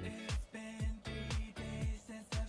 It's been three days since I've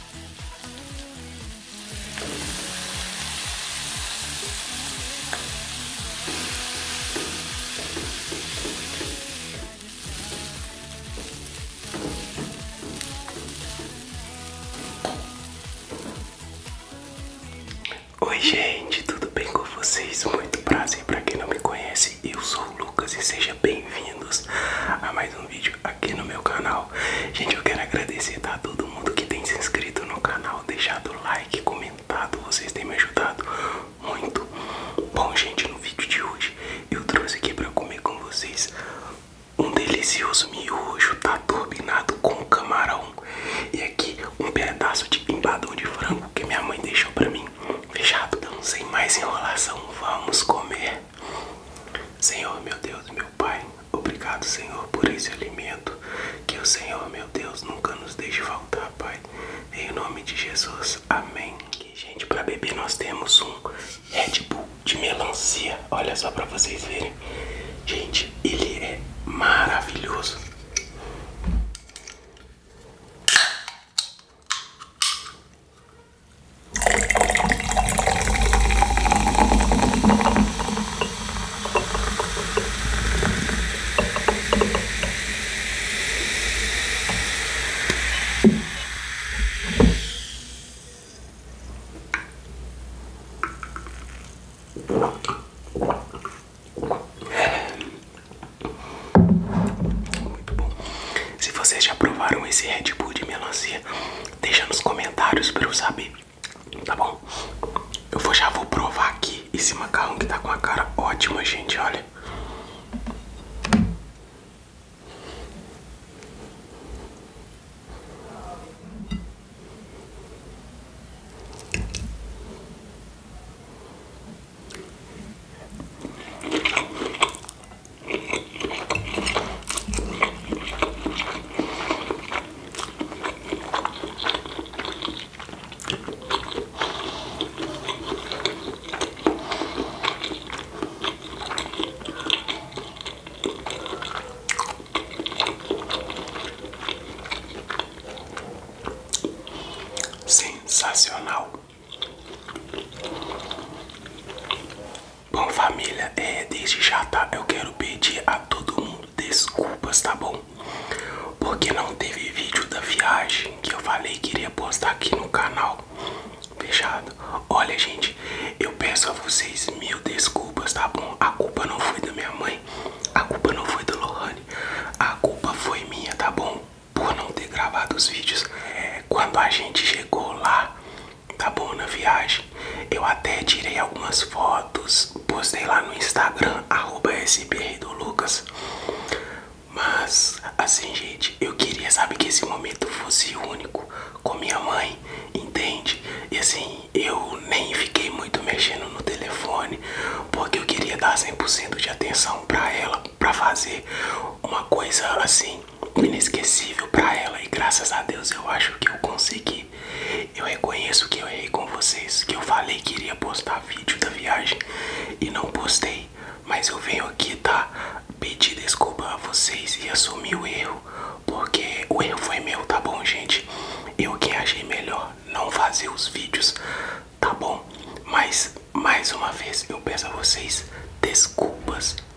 Oi gente, tudo bem com vocês? Muito prazer para quem não me conhece, eu sou Lucas e sejam bem-vindos a mais um vídeo aqui no meu canal. Gente, eu quero agradecer a tá? todo mundo que tem se inscrito no canal, deixado like, comentado, vocês têm me ajudado muito. Bom, gente, no vídeo de hoje eu trouxe aqui para comer com vocês um delicioso miojo, tá turbinado com camarão e aqui um pedaço de empadão de frango que minha mãe deixou para mim. Fechado, então sem mais enrolação, vamos comer. Senhor, meu Deus, meu Pai, obrigado, Senhor, por esse alimento. Que o Senhor, meu Deus, nunca nos deixe faltar, Pai. Em nome de Jesus, amém. E, gente, para beber nós temos um Red Bull de melancia. Olha só para vocês verem. Gente, ele é maravilhoso. Muito bom. Se vocês já provaram esse Red Bull de melancia, Deixa nos comentários pra eu saber, tá bom? Eu já vou provar aqui esse macarrão que tá com a cara ótima, gente, olha. Sensacional. Bom família, é, desde já tá, eu quero pedir a todo mundo desculpas, tá bom? Porque não teve vídeo da viagem que eu falei que iria postar aqui no canal, fechado? Olha gente, eu peço a vocês mil desculpas, tá bom? A culpa não foi da minha mãe, a culpa não foi do Lohane, a culpa foi minha, tá bom? Por não ter gravado os vídeos. É, quando a gente chegou lá, tá bom na viagem. Eu até tirei algumas fotos, postei lá no Instagram, arroba SBR do Lucas. Mas assim gente, eu queria saber que esse momento fosse único com minha mãe, entende? E assim, eu nem fiquei muito mexendo no telefone, porque eu queria dar 100% de atenção para ela, para fazer uma coisa assim inesquecível para ela e graças a Deus eu acho que eu consegui. Eu reconheço que eu errei com vocês, que eu falei que iria postar vídeo da viagem e não postei, mas eu venho aqui tá pedir desculpa a vocês e assumir o erro, porque o erro foi meu, tá bom, gente? Eu que achei melhor não fazer os vídeos, tá bom? Mas mais uma vez eu peço a vocês desculpas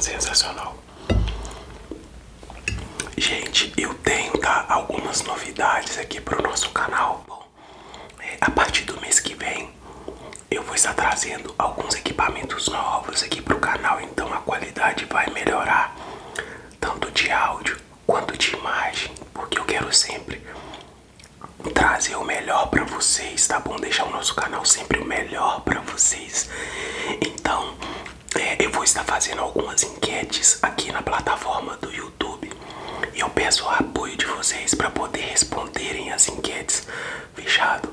Sensacional. Gente, eu tenho tá, algumas novidades aqui para o nosso canal a partir do mês que vem eu vou estar trazendo alguns equipamentos novos aqui para o canal, então a qualidade vai melhorar tanto de áudio quanto de imagem, porque eu quero sempre trazer o melhor para vocês, tá bom? Deixar o nosso canal sempre o melhor para vocês. Então é, eu vou estar fazendo algumas enquetes aqui na plataforma do YouTube eu peço o apoio de vocês para poder responderem as enquetes, fechado?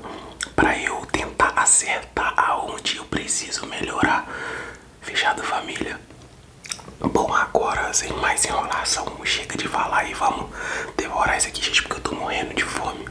Para eu tentar acertar aonde eu preciso melhorar, fechado, família? Bom, agora sem mais enrolação, chega de falar e vamos devorar isso aqui, gente, porque eu tô morrendo de fome.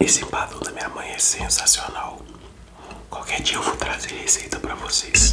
Esse empadão da minha mãe é sensacional. Qualquer dia eu vou trazer receita para vocês.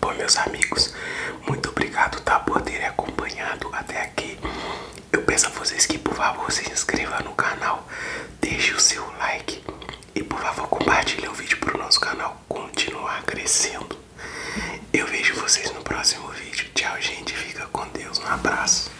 Bom, meus amigos, muito obrigado tá, por terem acompanhado até aqui. Eu peço a vocês que, por favor, se inscreva no canal, deixe o seu like e, por favor, compartilhe o vídeo para o nosso canal continuar crescendo. Eu vejo vocês no próximo vídeo. Tchau, gente. Fica com Deus. Um abraço.